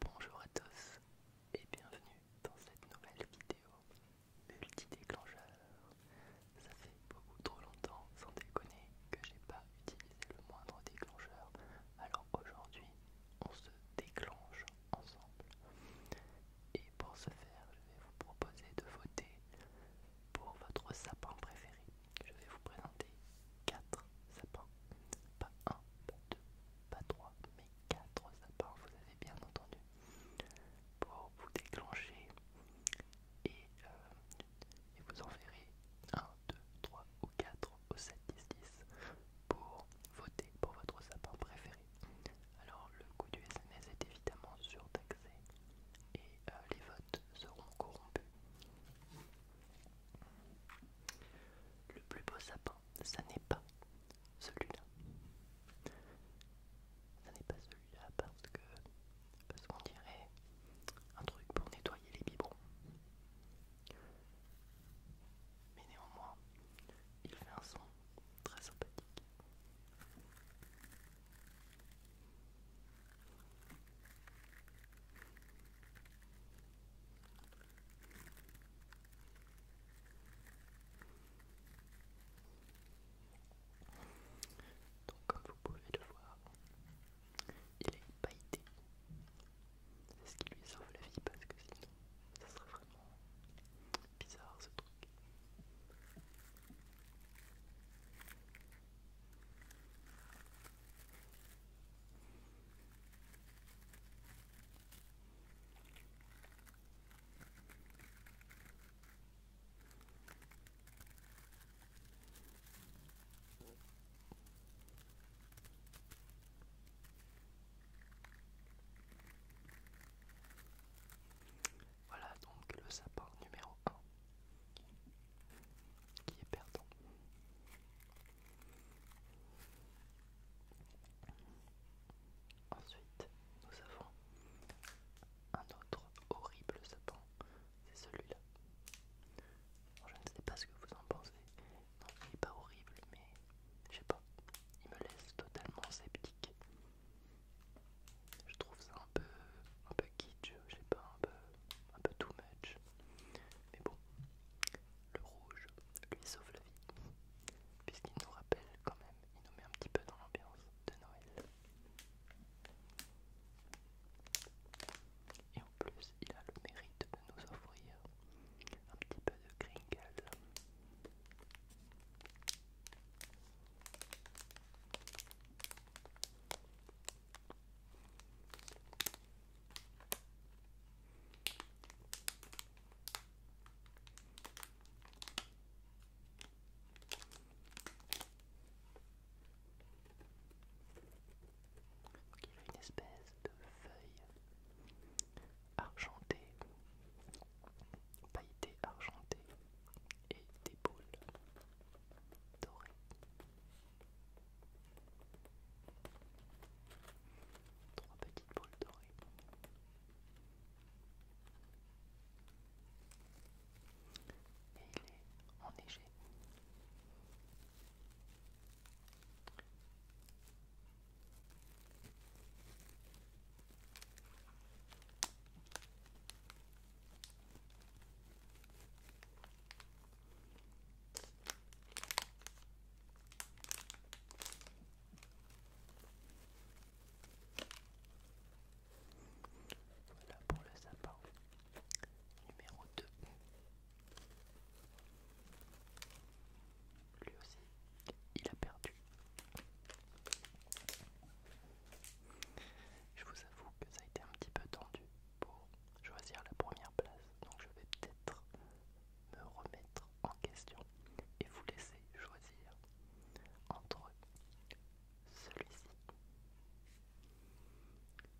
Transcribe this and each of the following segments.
Bonjour à tous et bienvenue dans cette nouvelle vidéo multi-déclencheur. Ça fait beaucoup trop longtemps, sans déconner, que j'ai pas utilisé le moindre déclencheur. Alors aujourd'hui, on se déclenche ensemble. Et pour ce faire, je vais vous proposer de voter pour votre sapin préféré. Je vais vous présenter 4 sapins pas 1, pas 2, pas 3, mais 4 sapins, vous avez bien entendu, pour vous déclencher et, euh, vous en verrez 1, 2, 3 ou 4 au 7, 10, 10 pour voter pour votre sapin préféré. Alors le coût du SMS est évidemment surtaxé et euh, les votes seront corrompus. Le plus beau sapin ça n'est pas celui-là. Ça n'est pas celui-là parce que parce qu'on dirait un truc pour nettoyer les biberons. Mais néanmoins, il fait un son très sympathique. Donc comme vous pouvez le voir, il est pailleté. C'est ce qui lui sauve la vie parce que sinon ça serait vraiment bizarre ce truc. Voilà donc le sapin numéro 1 qui est perdant. Ensuite, nous avons un autre horrible sapin, c'est celui-là. Je ne sais pas ce que vous en pensez. Non, il n'est pas horrible, mais je sais pas. Il me laisse totalement sceptique. Je trouve ça un peu, un peu kitsch, je sais pas, un peu, un peu too much. Mais bon, le rouge lui sauve la vie, puisqu'il nous rappelle quand même, il nous met un petit peu dans l'ambiance de Noël. Et en plus, il a le mérite de nous offrir un petit peu de gringle il a une espèce de feuille argentée, pailletée argentée et des boules dorées. Trois petites boules dorées. Et il est enneigé. Voilà pour le sapin numéro 2. Lui aussi, il a perdu. Je vous avoue que ça a été un petit peu tendu pour choisir la première place, donc je vais peut-être me remettre en question et vous laisser choisir entre celui-ci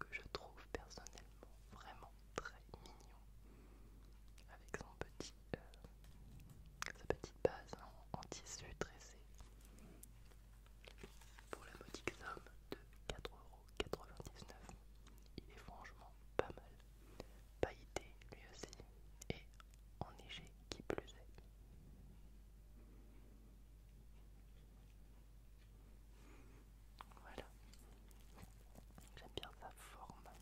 que je trouve personnellement vraiment très mignon avec son petit euh, sa petite base en, tissu tressé pour la modique somme de 4 euros 99 Il est franchement pas mal. Pailleté lui aussi et enneigé qui plus est. Voilà. J'aime bien sa forme.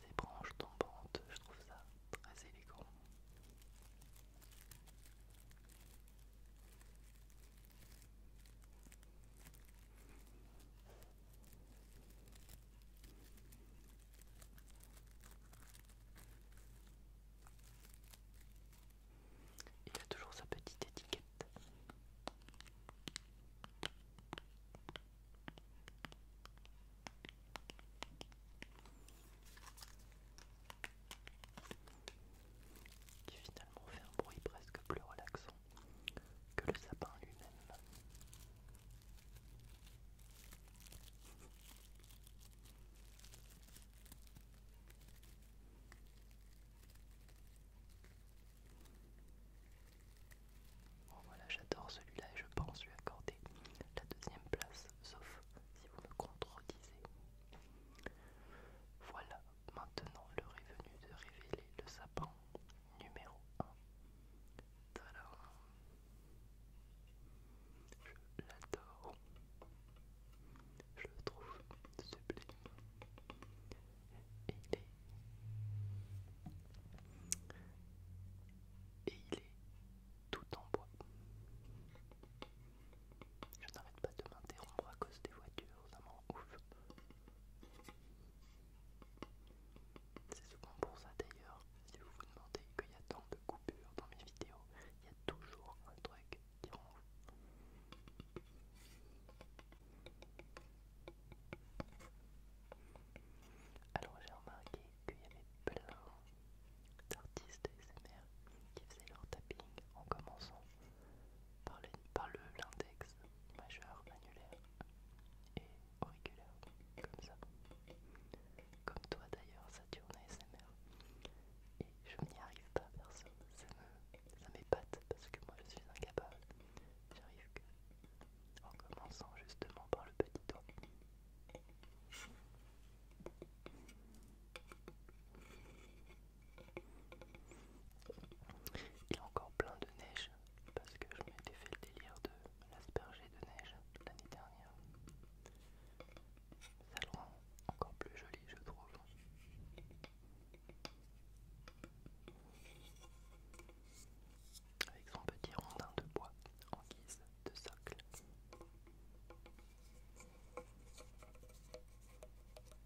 Ses branches tombantes, je trouve ça très élégant. Il a toujours sa petite étiquette. Qui finalement fait un bruit presque plus relaxant que le sapin lui-même. Bon voilà, j'adore celui-là et je pense lui accorder la deuxième place, sauf si vous me contredisez. Voilà, maintenant l'heure est venue de révéler le sapin numéro 1. Je l'adore. Je le trouve sublime. Et il est... Et il est tout en bois. Je n'arrête pas de m'interrompre à cause des voitures, c'est souvent pour ça d'ailleurs, si vous vous demandez qu'il y a tant de coupures dans mes vidéos, il y a toujours un truc qui rend Alors j'ai remarqué qu'il y avait plein d'artistes SMR qui faisaient leur tapping en commençant par l'index majeur annulaire et auriculaire, comme ça. Comme toi d'ailleurs, Saturne SMR. Et je n'y arrive pas, personne. Ça m'épate parce que moi je suis incapable. J'arrive que en commençant justement par le petit doigt. Il y a encore plein de neige parce que je m'étais fait le délire de l'asperger de neige l'année dernière. Ça le rend encore plus joli, je trouve. Avec son petit rondin de bois en guise de socle.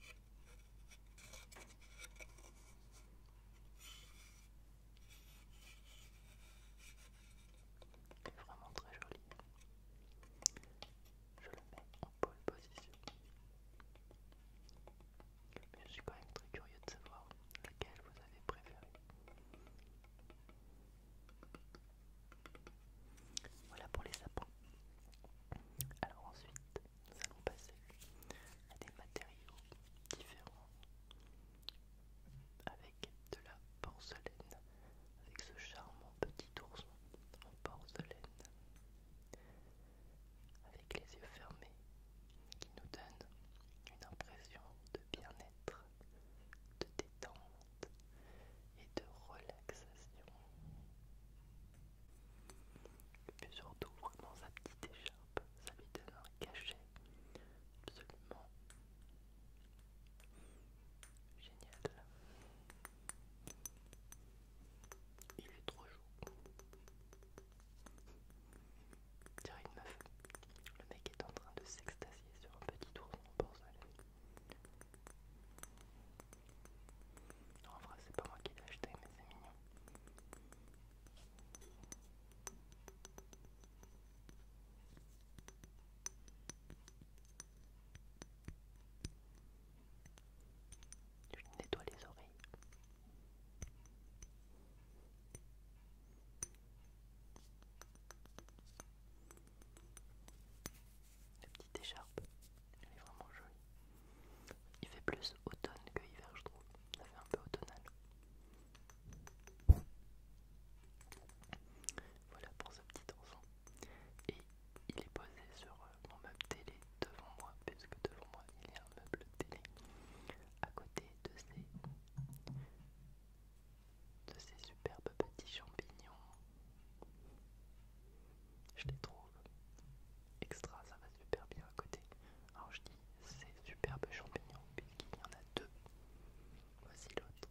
C'est vraiment très joli. Je le mets en pole position. Mais je suis quand même très curieux de savoir laquelle vous avez préférée. Voilà pour les sapins. Alors ensuite, nous allons passer à des matériaux différents avec de la porcelaine, avec ce charmant petit ourson en porcelaine, avec les yeux fermés qui nous donne une impression de bien-être, de détente et de relaxation. Plus surtout, vraiment, sa petite écharpe, ça lui donne un cachet absolument génial. Il est trop chaud. Tiens une meuf. Le mec est en train de s'extasier sur un petit tour de porcelaine. Non, en vrai, c'est pas moi qui l'ai acheté, mais c'est mignon. Je nettoie les oreilles. La petite écharpe, elle est vraiment jolie. Il fait plus automne que hiver, je trouve. Ça fait un peu automnal. Voilà pour ce petit enfant. Et il est posé sur euh, mon meuble télé devant moi, puisque devant moi il y a un meuble télé à côté de ses... de ces superbes petits champignons je les trouve extra, ça va super bien à côté. Alors je dis c'est superbe champignons puisqu'il y en a deux. Voici l'autre,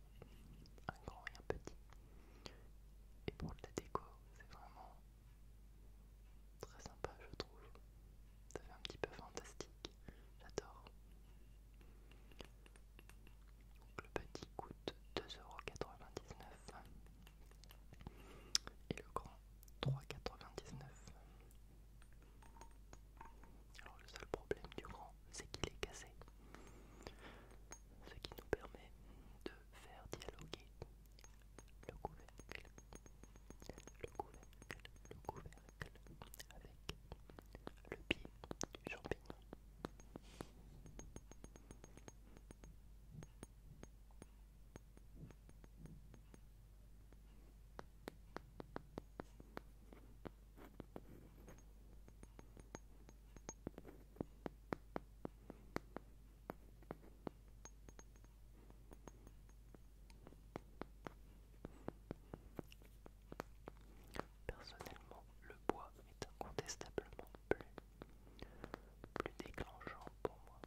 un grand et un petit. Et pour le déco, c'est vraiment très sympa je trouve. Ça fait un petit peu fantastique, j'adore le petit coûte 2,99€ et le grand 3,99€. Alors le seul problème du grand, c'est qu'il est cassé. Ce qui nous permet de faire dialoguer le couvercle, le le couvercle avec le pied du champignon. Personnellement, le bois est incontestablement plus plus déclenchant pour moi.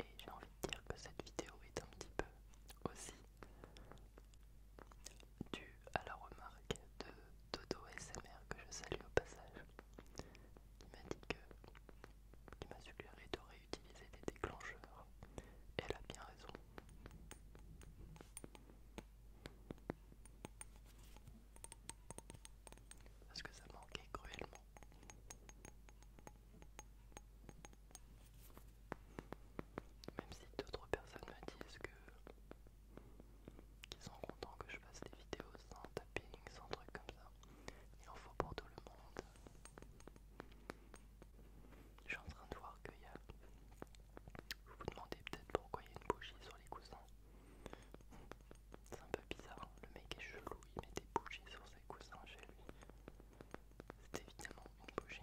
Et j'ai envie de dire que cette vidéo est un petit peu aussi dû à la remarque de Dodo SMR que je salue au passage. qui m'a dit que il m'a suggéré de réutiliser des déclencheurs. elle a bien raison. Parce que ça manquait cruellement. Même si d'autres personnes me disent que qui sont contents que je fasse des vidéos sans tapping, sans trucs comme ça. Il en faut pour tout le monde. Je suis en train de voir qu'il y a. Vous vous demandez peut-être pourquoi il y a une bougie sur les coussins. C'est un peu bizarre, le mec est chelou, il met des bougies sur ses coussins chez lui. C'est évidemment une bougie.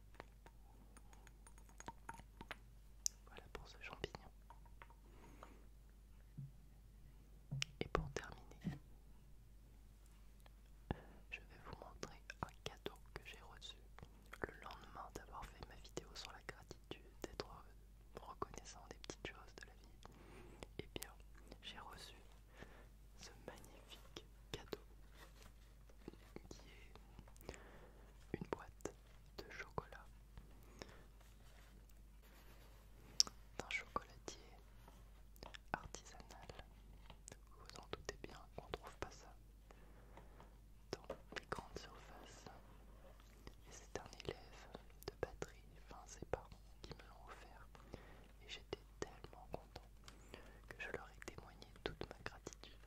Voilà pour ce champignon. Et pour terminer, je vais vous montrer un cadeau que j'ai reçu le lendemain d'avoir fait ma vidéo sur la gratitude, d'être reconnaissant des petites choses de la vie. Et eh bien, j'ai reçu ce magnifique cadeau qui est une boîte de chocolat d'un chocolatier artisanal. Vous en doutez bien, ne trouve pas ça dans les grandes surfaces. Et c'est un élève de batterie, enfin ses parents qui me l'ont offert. Et j'étais tellement content que je leur ai témoigné toute ma gratitude.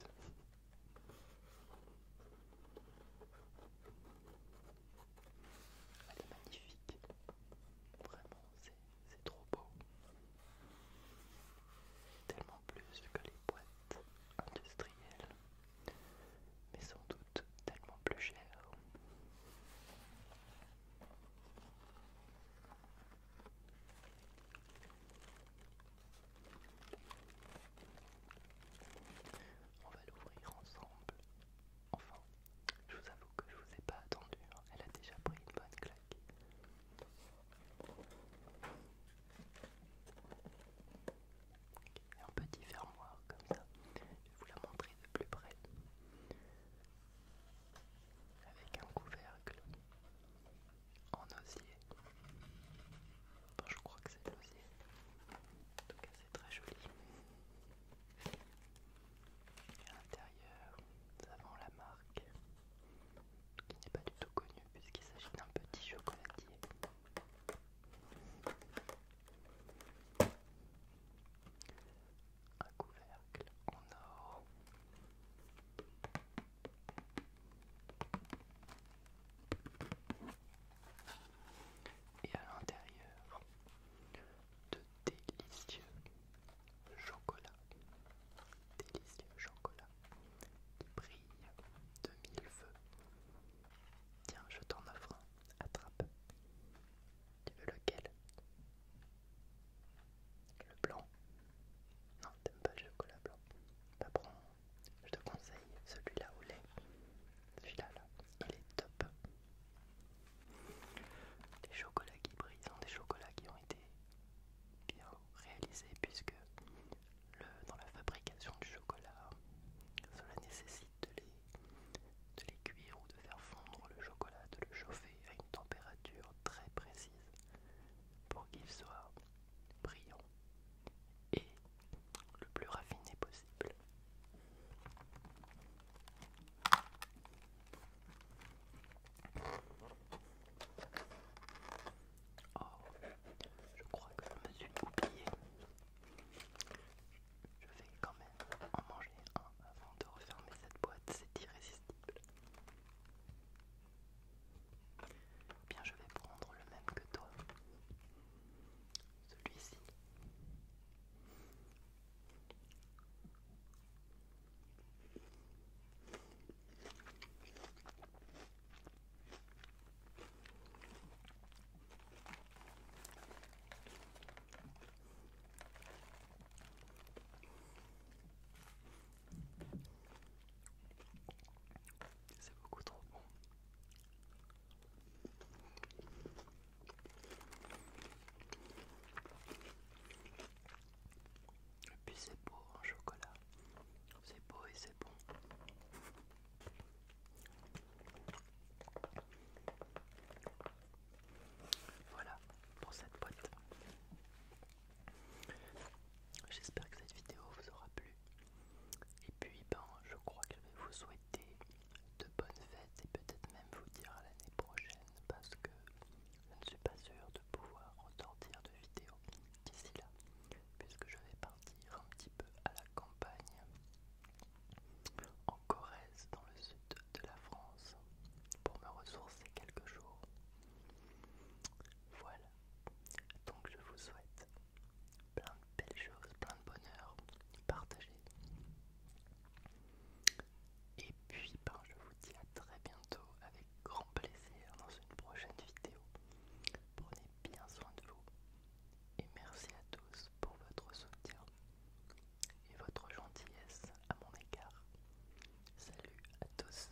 Elle est magnifique. Vraiment, c'est trop beau. Tellement plus que les boîtes industrielles, mais sans doute tellement plus chères. On va l'ouvrir ensemble. Enfin, je vous avoue que je ne vous ai pas attendu. Hein. Elle a déjà pris une bonne claque. Un petit fermoir comme ça. Je vais vous la montrer de plus près. Avec un couvercle en osier. je crois que c'est de l'osier. En tout cas, c'est très joli. à l'intérieur, nous avons la marque qui n'est pas du tout connue puisqu'il s'agit d'un petit chocolatier. Un couvercle en or. Et à l'intérieur, de délicieux chocolat, Délicieux chocolat, qui brillent de mille feux. Tiens, je t'en offre un. Attrape. Tu veux lequel Le blanc Non, t'aimes pas le chocolat blanc. Pas je te conseille celui-là au lait. Celui-là, là, il est top. Des chocolats qui brillent hein, des chocolats qui ont été bien réalisés puisque dans la fabrication du chocolat, cela nécessite de les cuire ou de faire fondre le chocolat, de le chauffer à une température très précise pour qu'il soit brillant et le plus raffiné possible. Oh, je crois que je me suis oublié. Je vais quand même en manger un avant de refermer cette boîte, c'est irrésistible. Eh bien, je vais prendre le même que toi. Celui-ci. C'est beaucoup trop bon. Et puis c'est beau en chocolat. C'est beau et c'est bon. Voilà pour cette boîte. J'espère que cette vidéo vous aura plu. Et puis, ben, je crois que je vais vous souhaiter de bonnes fêtes et peut-être même vous dire à l'année prochaine parce que je ne suis pas sûr de pouvoir ressortir de vidéo d'ici là puisque je vais partir un petit peu à la campagne en Corrèze dans le sud de la France pour me ressourcer quelques jours. Voilà, donc je vous souhaite plein de belles choses, plein de bonheur partagé. Et puis ben, je vous dis à très bientôt avec grand plaisir dans une prochaine vidéo. Prenez bien soin de vous et merci à tous pour votre soutien et votre gentillesse à mon égard. Salut à tous.